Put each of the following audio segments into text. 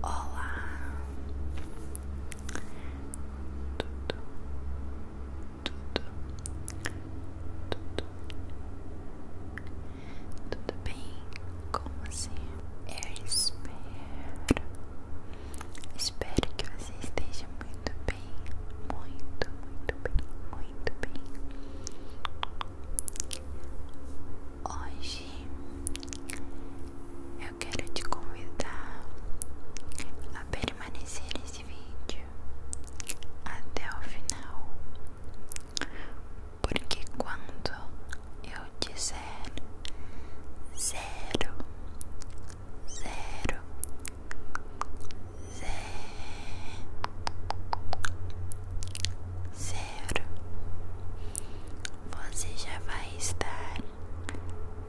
Olá, tudo, tudo, tudo tudo bem? Como assim? Eu espero. Espero que você esteja muito bem. Muito, muito bem. Muito bem. Hoje eu quero te convidar a permanecer nesse vídeo até o final porque quando eu disser zero, zero, zero, zero, você já vai estar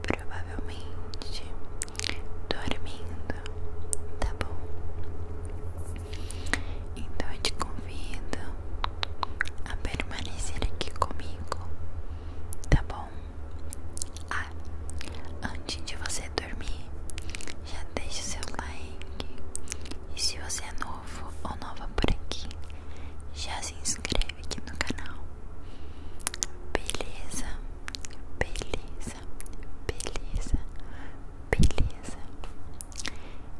provavelmente dormindo, tá bom? Então eu te convido a permanecer aqui comigo, tá bom? Ah, antes de você dormir, já deixa seu like. E se você é novo ou nova por aqui, já se inscreve aqui no canal. Beleza, beleza, beleza, beleza.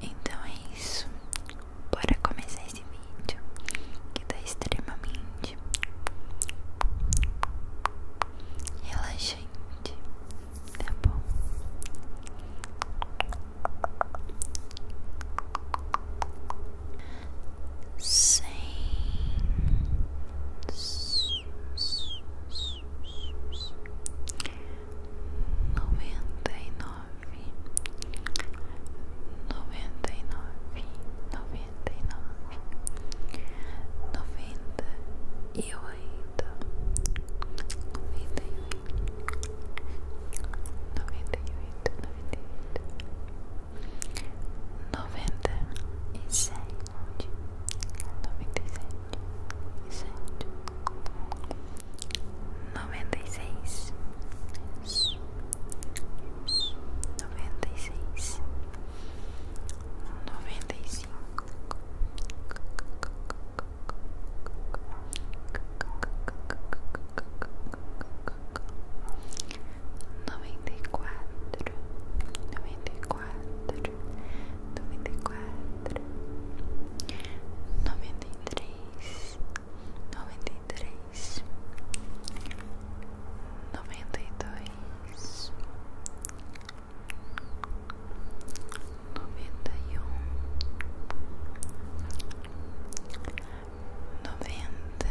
Então é isso. Bora começar esse vídeo que tá extremamente relaxante, tá bom? Sem noventa e nove, noventa e nove, noventa e nove, noventa e oito, noventa e oito, noventa e oito, noventa e oito, noventa e sete, noventa e sete noventa e seis, noventa e seis, noventa e cinco, noventa e quatro, noventa e quatro, noventa e quatro noventa e três, noventa e três, noventa e dois, noventa e um, noventa.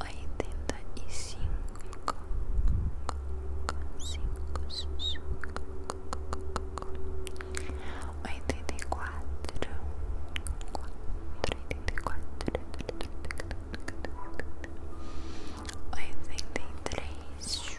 oitenta e cinco, cinco, oitenta e quatro, oitenta e quatro, oitenta e três. 83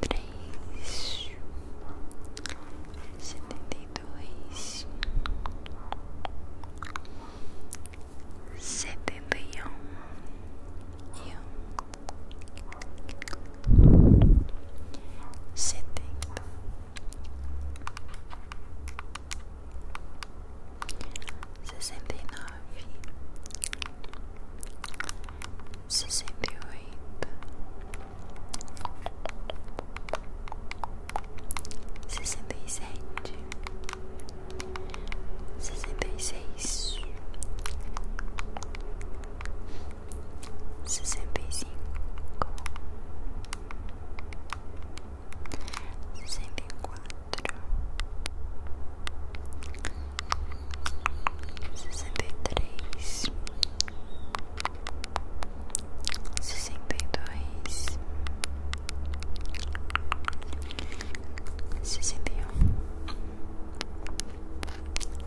três setenta e dois setenta e um um, setenta sessenta e nove sessenta e oito, sessenta e sete, sessenta e seis, sessenta e cinco, sessenta e quatro sessenta e três, sessenta e dois, sessenta e um,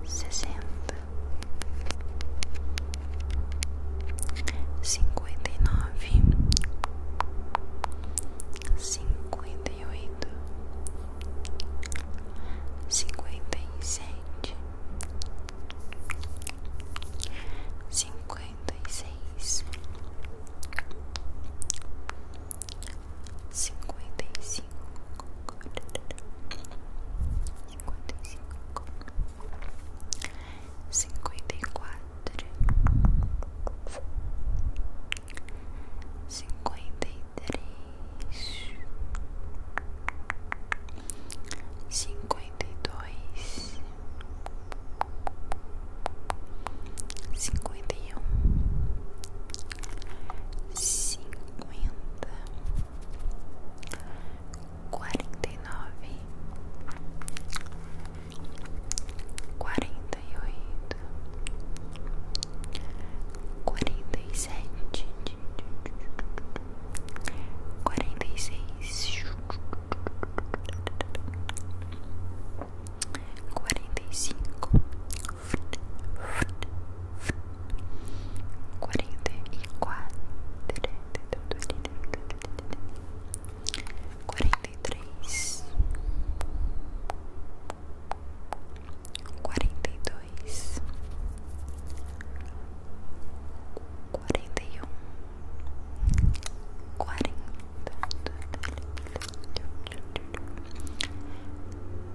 sessenta, cinquenta e nove cinquenta e oito, cinquenta e sete, cinquenta e seis, cinquenta e cinco, cinquenta e cinco, cinquenta e quatro cinquenta e três, cinquenta e dois, cinquenta e um, cinquenta, quarenta e nove quarenta e oito, quarenta e sete, quarenta e seis, quarenta e cinco, quarenta e quatro. Quarenta quarenta e três, quarenta e dois, quarenta e um, quarenta,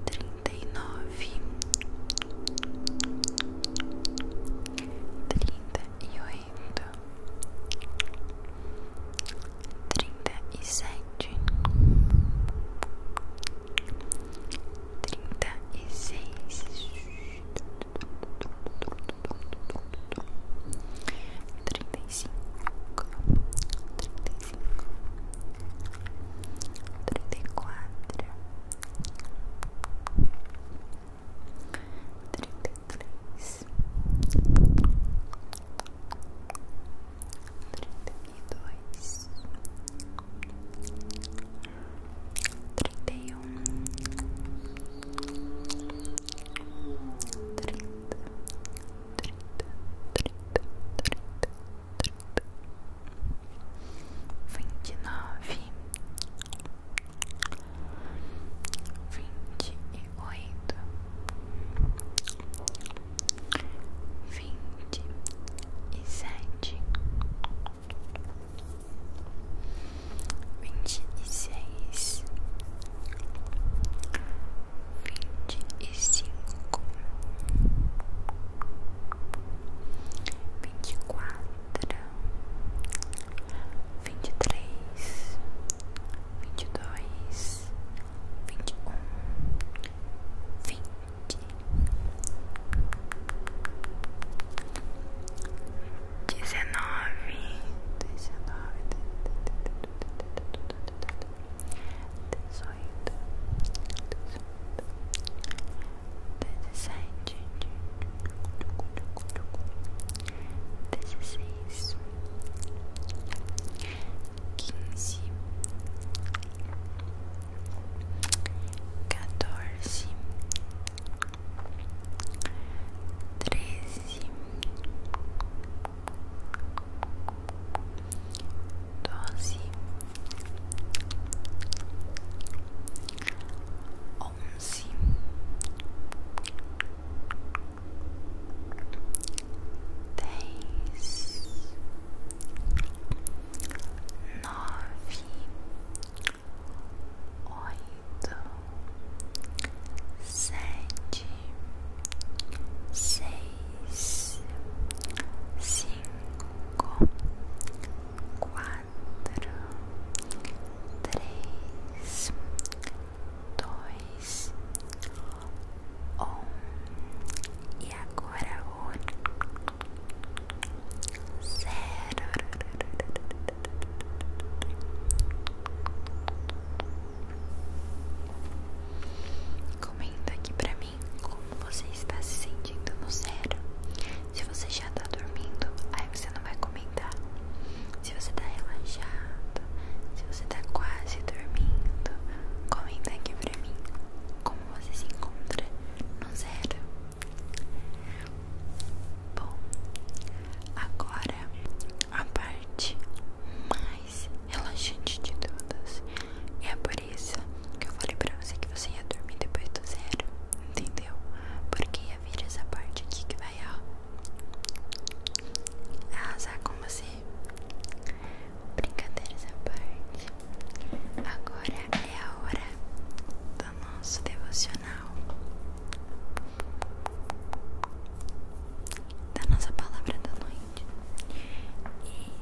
trinta e nove, trinta e oito trinta e sete, trinta e seis, trinta e cinco, trinta e cinco, trinta e quatro, trinta trinta e dois, trinta e um, trinta, trinta, trinta, trinta, trinta, vinte e nove, vinte e oito, vinte e sete, vinte e seis, vinte e cinco, vinte e quatro. Vinte e três, vinte e dois, vinte e um, vinte, dezenove, dezenove, dezoito, dezoito, dezessete. 17 18 19 20 21 22 23 24 25 26 27 dezesseis, quinze, quatorze, treze, doze, onze dez, nove, oito, sete, seis, cinco, quatro, três dois, um, e agora o zero. Comenta aqui pra mim como você está se sentindo no zero. Se você já está dormindo, live é, você não vai comentar. Se você tá relaxado, se você tá quase dormindo, comenta aqui pra mim como você se encontra no zero. Bom, agora a parte mais relaxante de todas. E é por isso que eu falei pra você que você ia dormir depois do zero, entendeu? Porque ia vir essa parte aqui que vai ó, arrasar ah, com você. Assim? Brincadeiras à parte. Agora é a hora do nosso devocional. Da nossa palavra da noite.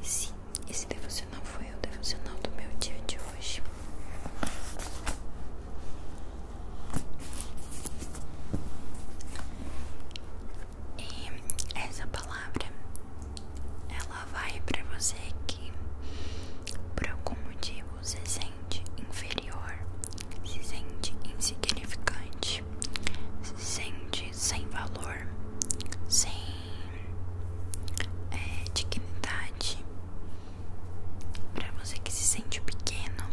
E sim, esse devocional foi o devocional do meu dia de hoje. E essa palavra ela vai para você que por algum motivo se sente inferior, se sente insignificante, se sente sem valor, sem eh, dignidade para você que se sente pequeno,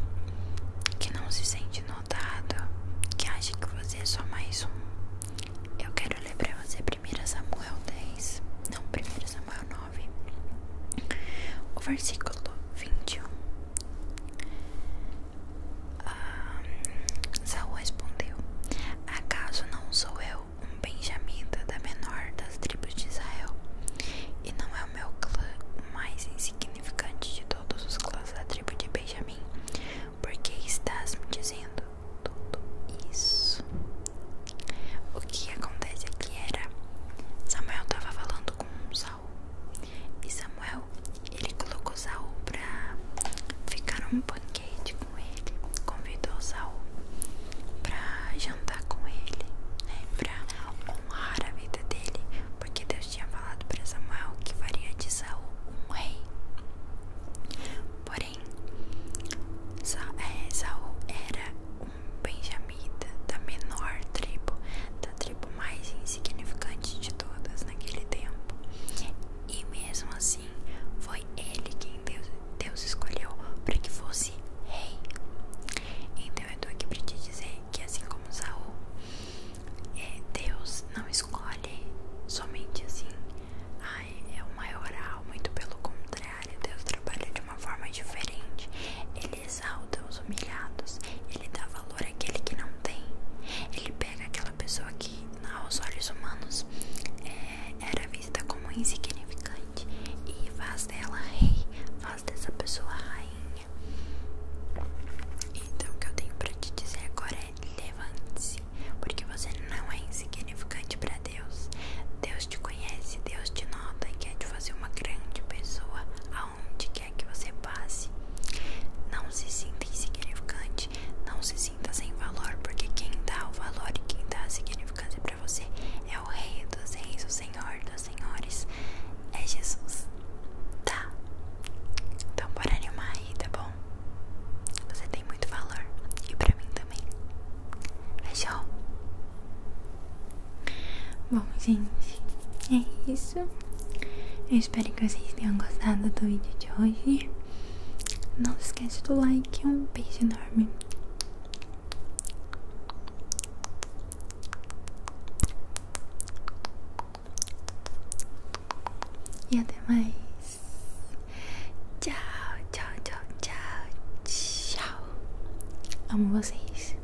que não se sente notado, que acha que você é só mais um, eu quero lembrar você 1 Samuel 10, não 1 Samuel 9, o versículo 21. Ah, Saul respondeu: Acaso não sou eu um benjamita da menor das tribos de Israel? E não é o meu clã mais insignificante de todos os clãs da tribo de Benjamin. porque estás me dizendo tudo isso? O que acontece aqui era Samuel estava falando com Saul e Samuel ele colocou Saul para ficar num banquete com ele, convidou Saul para jantar com ele, né? pra honrar a vida dele, porque Deus tinha falado para Samuel que faria de Saul um rei. Porém, é, Saul era um benjamita da menor tribo, da tribo mais insignificante de todas naquele tempo. E mesmo assim, foi ele quem Deus, Deus escolheu para que fosse rei. Então eu tô aqui pra te dizer que assim como Saul, é, Deus não escolhe somente assim, é o maioral, muito pelo contrário, Deus trabalha de uma forma diferente. Ele exalta os humilhados, ele dá valor àquele que não tem. Ele pega aquela pessoa que aos olhos humanos é, era vista como insignificante e faz dela rei, faz dessa pessoa rainha. Então, o que eu tenho para te dizer agora é: levante-se, porque você não é insignificante para Deus. Deus te conhece, Deus te nota e quer te fazer uma grande pessoa aonde quer que você passe. Não se sinta insignificante, não se sinta sem valor, porque quem dá o valor e quem dá a significância pra você. É o Rei dos Reis, o Senhor dos Senhores. É Jesus. Tá? Então bora animar aí, tá bom? Você tem muito valor. E pra mim também. Fechou? Bom, gente, é isso. Eu espero que vocês tenham gostado do vídeo de hoje. Não se esquece do like. Um beijo enorme. E até mais. Tchau, tchau, tchau, tchau, tchau. Amo vocês.